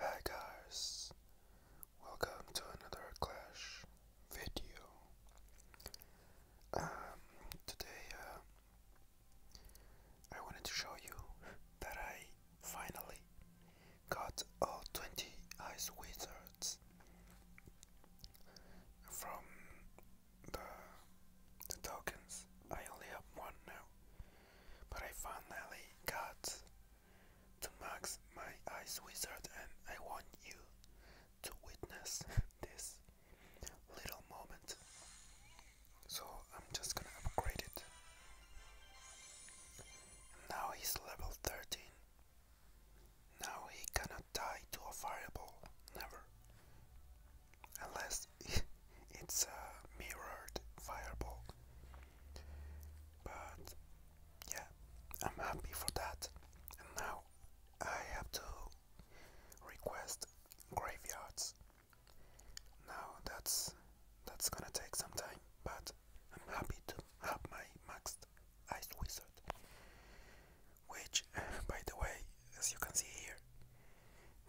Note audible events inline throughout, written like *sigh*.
Hi guys, welcome to another Clash video. Um, today uh, I wanted to show you that I finally got all 20 Ice Wizards from the tokens. I only have one now but I finally got to Max my ice wizard and I want you to witness *laughs* this little moment. So I'm just gonna upgrade it. now he's level 13. Now he cannot die to a fireball, never. Unless *laughs* it's a mirrored fireball. But yeah, I'm happy for that. And now I have to request graveyards. Now that's that's gonna take some time, but I'm happy to have my maxed ice wizard. Which, *laughs* by the way, as you can see here,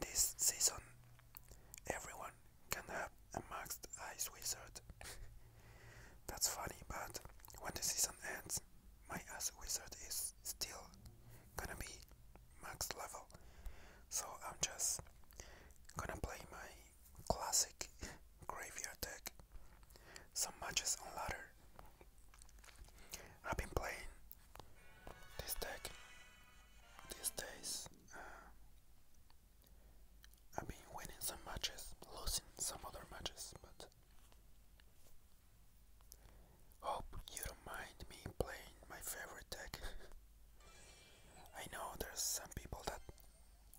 this season everyone can have a maxed ice wizard. *laughs* That's funny, but when the season ends, my ice wizard is still gonna be max level. So I'm just gonna play my classic *laughs* graveyard deck. Some matches on ladder. I've been playing this deck these days. Uh, I've been winning some matches, losing some other matches, but hope you don't mind me playing my favorite deck. *laughs* I know there's some people that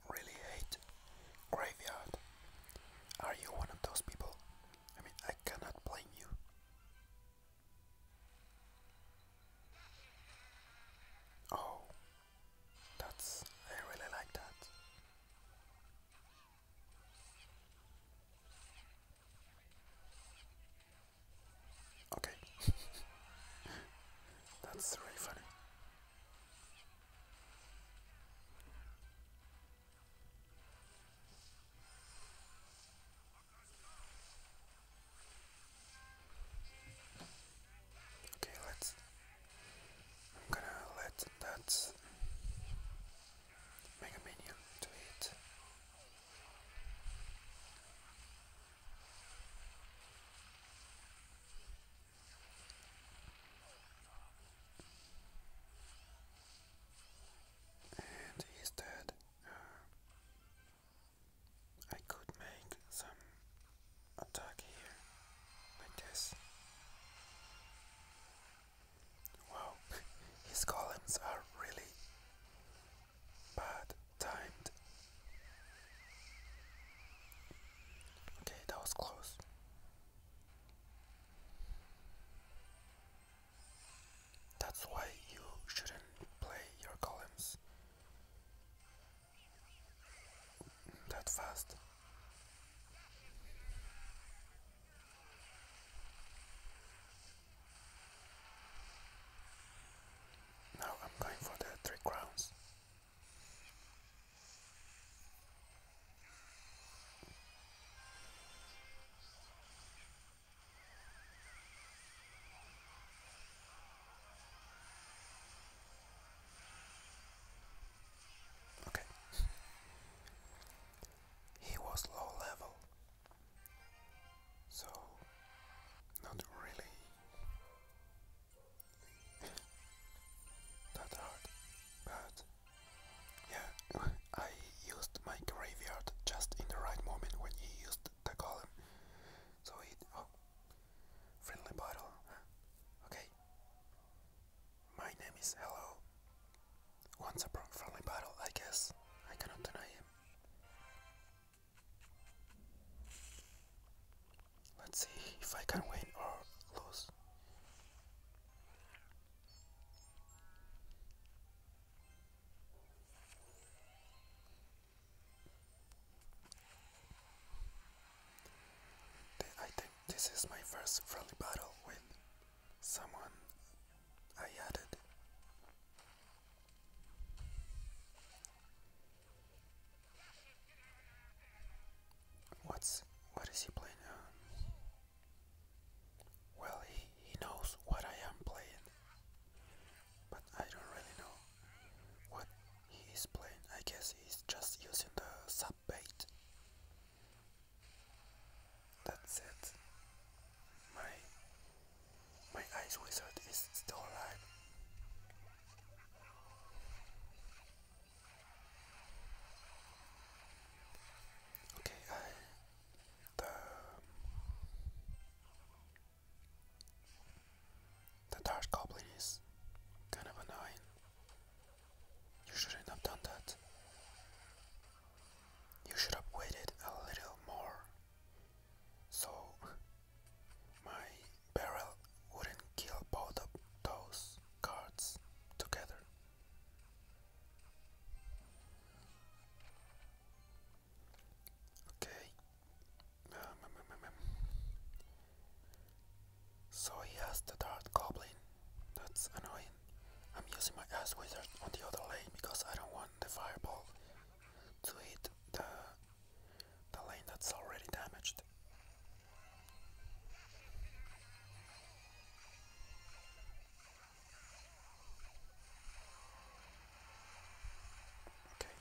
really hate Graveyard. Are you one of those people? I mean, I cannot blame you. Oh, that's. I really like that. Okay. *laughs* That's really funny. Okay, let's. I'm gonna let that Mega Minion do it. And he's dead. I could make some attack here like this. Wow, *laughs* his columns are really bad timed. Okay, that was close. That's why you shouldn't play your columns that fast. Now I'm going for the three crowns. Okay. He was low level, so not really that hard, but yeah, *laughs* I used my graveyard just in the right moment when he used the column, so it. Friendly bottle. Okay. My name is Hello. Once a friendly bottle, I guess. I cannot deny him. Let's see if I can win or lose. I think this is my first friendly battle with someone I added. What's what is he playing on? Well, he, he knows what I am playing, but I don't really know what he is playing. I guess he's just using the sub bait. That's it. My my ice wizard is still alive. Okay, I the the Dark Goblin is kind of annoying. You shouldn't have done that. You should have waited a little more so my barrel wouldn't kill both of those cards together. Okay, so he has the Dark Goblin. That's annoying. I'm using my Ass Wizard on the other lane because I don't want the Fireball to hit the, the lane that's already damaged. Okay.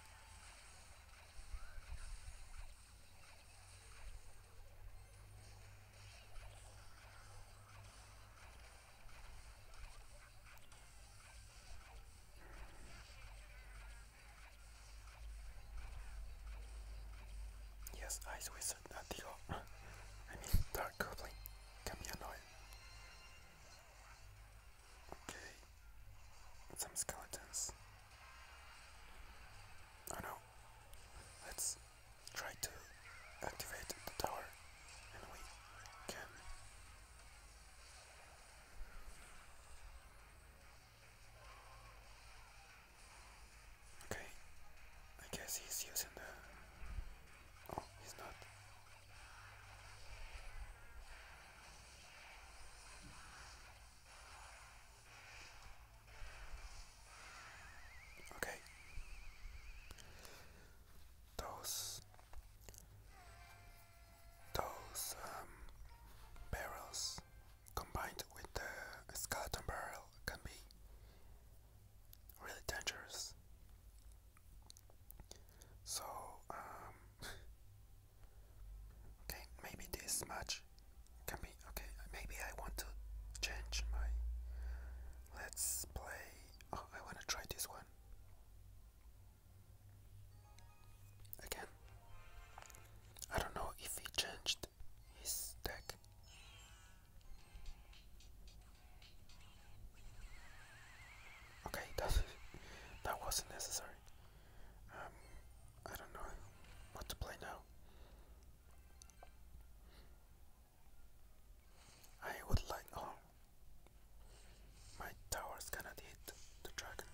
Yes, Ice Wizard, not the *laughs* I mean, Dark Goblin can be annoying. Eh. Okay. Some skeletons. Oh no. Let's try to activate the tower and we can. Okay. I guess he's using the. Oh, he's not. Okay. Those those um, barrels combined with the skeleton barrel can be really dangerous. So um, *laughs* Okay, maybe this much can be okay. Maybe I want to change my. Let's play. Oh, I want to try this one again. I don't know if he changed his deck. Okay, that *laughs* that wasn't necessary. Um, I don't know what to play now. I would like. Oh, my tower's going hit the dragon.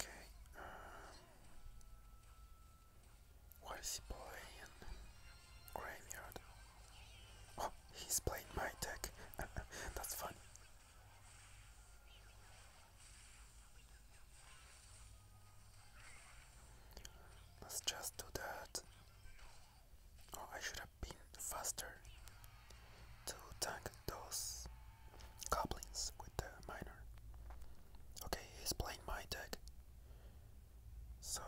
Okay. Um, what is he playing? Graveyard. Oh, he's playing my deck. *laughs* That's funny. Let's just do that. Oh, I should have been faster to tank those Goblins with the miner. Okay, he's playing my deck. So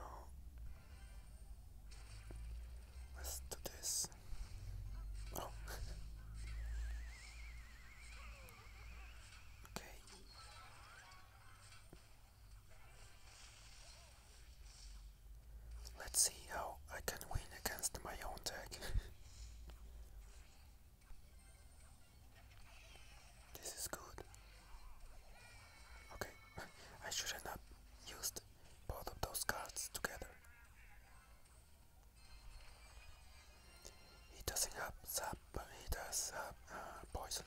let's do this. Oh. *laughs* okay. Let's see how I can win against my own deck. *laughs* This is good. Okay, *laughs* I should not used both of those cards together. He doesn't have sap, he does have uh, poison.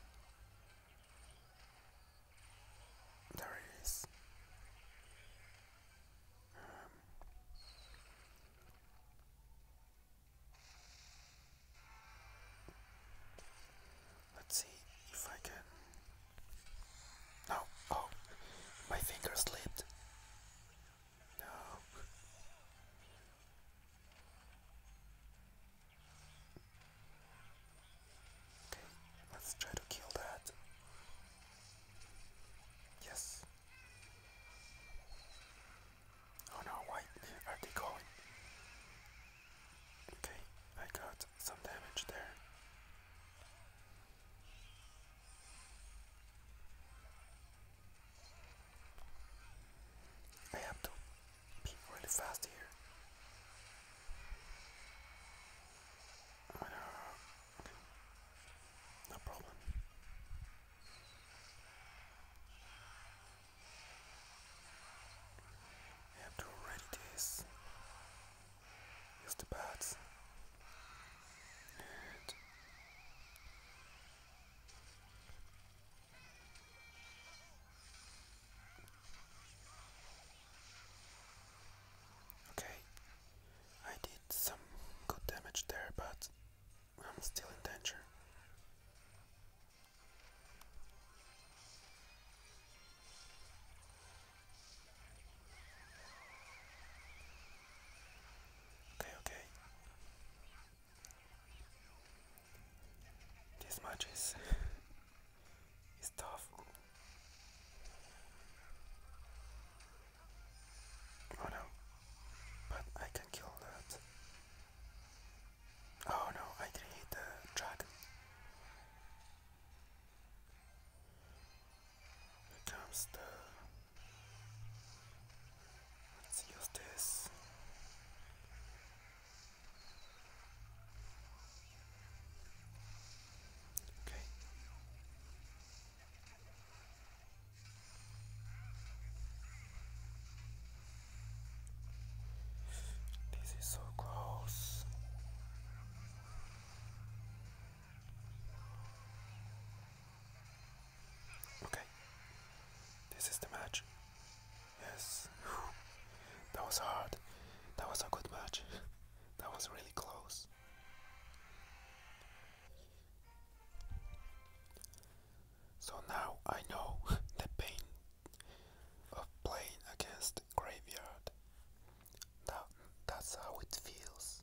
There it is. Um, Let's see if I can. No, oh, my finger slipped. No. Okay, let's try to kill that. Yes. Oh no, Wait, are they going? Okay, I got some damage there. I have to be really fast here. no problem. You have to ready this. the pads. Okay, I did some good damage there, but I'm still in danger. Okay, okay. This match is, is tough. Oh no, but I can kill that. Oh no, I didn't hit the dragon. Here comes the. Let's use this. Okay. This is so close. Okay, this is the match. Yes, that was hard. That was a good match. *laughs* that was really close. So now I know *laughs* the pain of playing against graveyard. That, that's how it feels.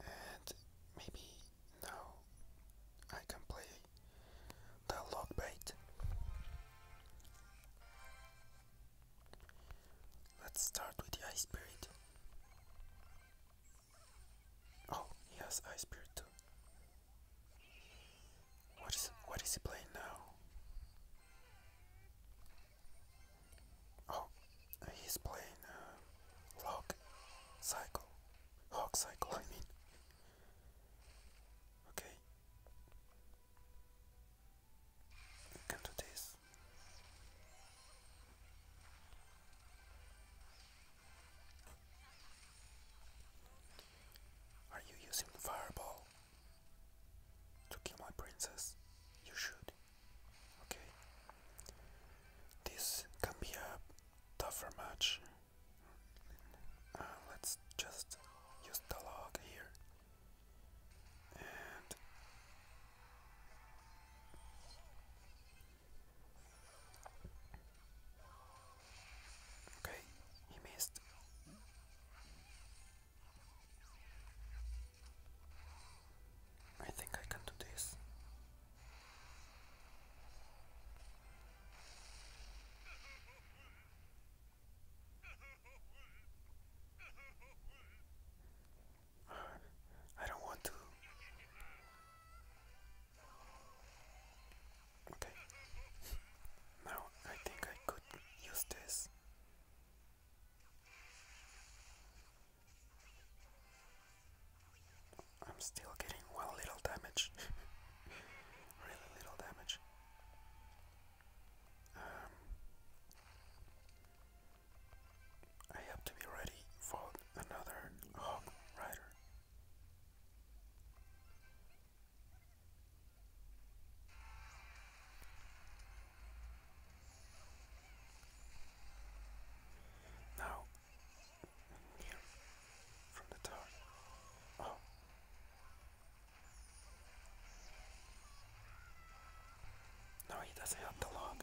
And maybe now I can play the bait. Let's start with the ice spirit. Oh, he has Ice Spirit too. What is what is he playing now? Oh, he's playing uh, Lock Cycle. Hawk Cycle, I mean. Okay. I can do this. Are you using the fireball to kill my princess? You should. Okay. This can be a tougher match. Uh, let's just use the log here. And Okay, he missed. I think I can do this. I don't want to Okay. *laughs* now I think I could use this. I'm still getting one little damage. *laughs* really little damage. Um, I have to be ready for another Hog Rider. Now, here from the tower. Oh. No, he doesn't help the log.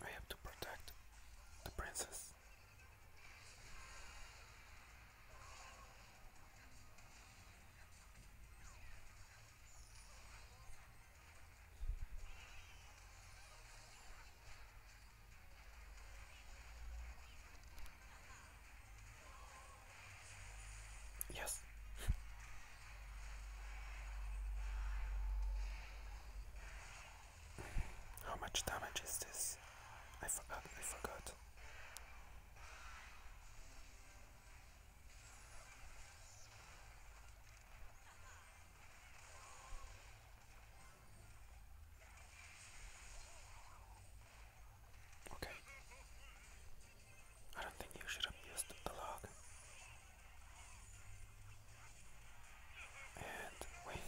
I have to protect the princess. Yes. How much damage is this? I forgot, I forgot. Okay. I don't think you should have used the log. And wait.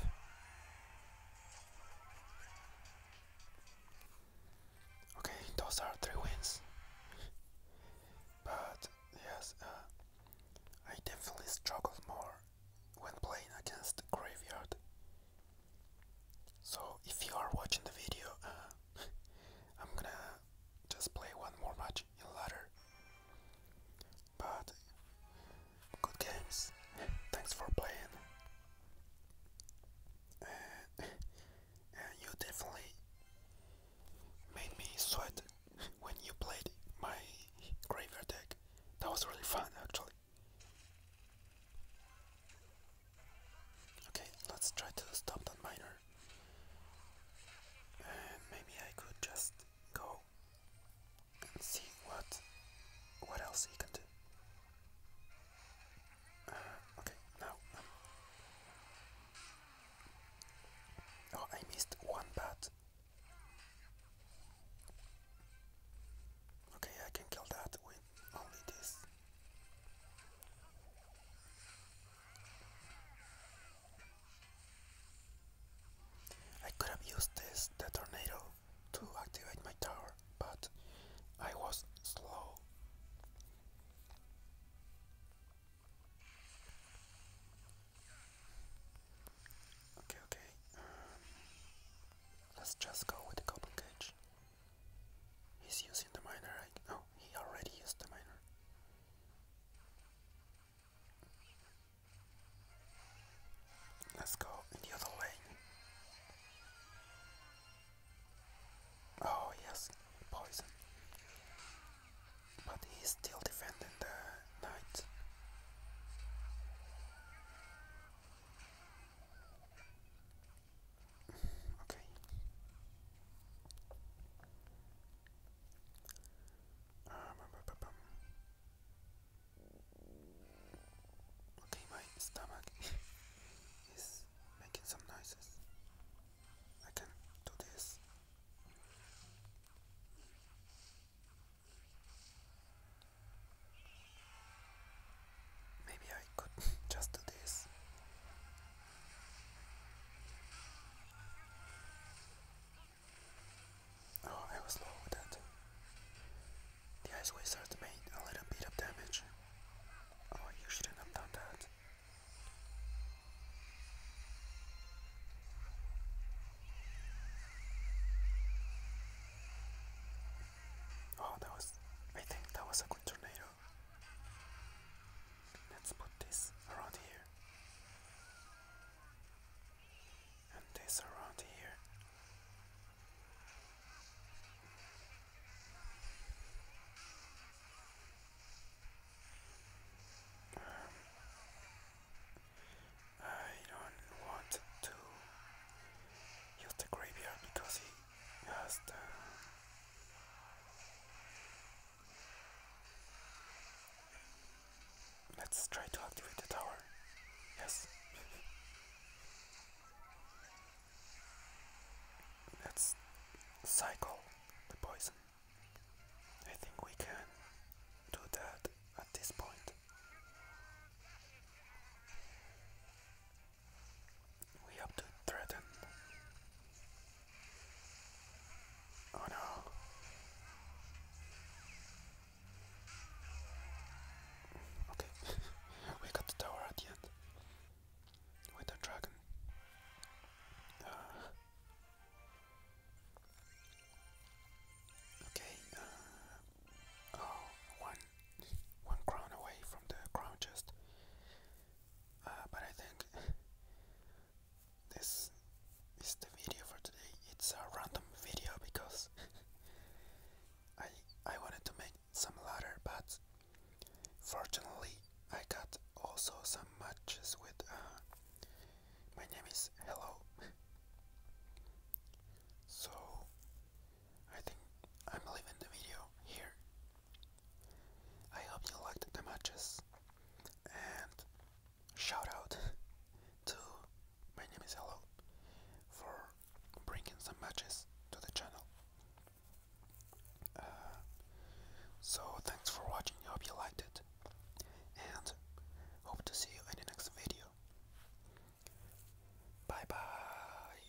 Okay, those are three wins. but yes, uh, I definitely struggled more when playing against Graveyard. So if you are watching the video, uh, *laughs* I'm gonna just play one more match in But good games. Thanks for playing. and you definitely made me sweat when you played my Graver deck. That was really fun actually. Okay, let's try to stop that miner. And maybe I could just go and see what what else he can do. Uh, okay, now. oh, I missed one bat. Okay, I can kill that with only this. I could have used this the tornado to activate my tower, but I was slow. Okay, okay. Um, let's just go with the cage. He's using the miner right He already used the miner. Let's go the other lane. Oh yes, poison. But he's still defending the knight. Okay. Um, okay, my stomach *laughs* is making some noises. I can do this. Maybe I could *laughs* just do this Oh, I was low with that. The ice wizard made a little bit of damage. Oh, you shouldn't have done that. Oh, that was. I think that was a good tornado. Let's put this around here. And this around here. Um, I don't want to use the graveyard because he has the Let's try to activate the tower. Yes. Let's cycle the poison. I think we can do that at this point. We have to threaten. Oh no. Okay, *laughs* we got the tower at the end. With the dragon. Uh, okay, uh, oh, one, one crown away from the crown chest. Uh, but I think this is the video for today. It's a random video because *laughs* I I wanted to make some ladder, but fortunately I got also some matches with. Uh, my name is Hello. So I think I'm leaving the video here. I hope you liked the matches and shout out to my name is Hello for bringing some matches to the channel. Uh, so thanks for watching, I hope you liked it and hope to see you in the next video. Bye bye!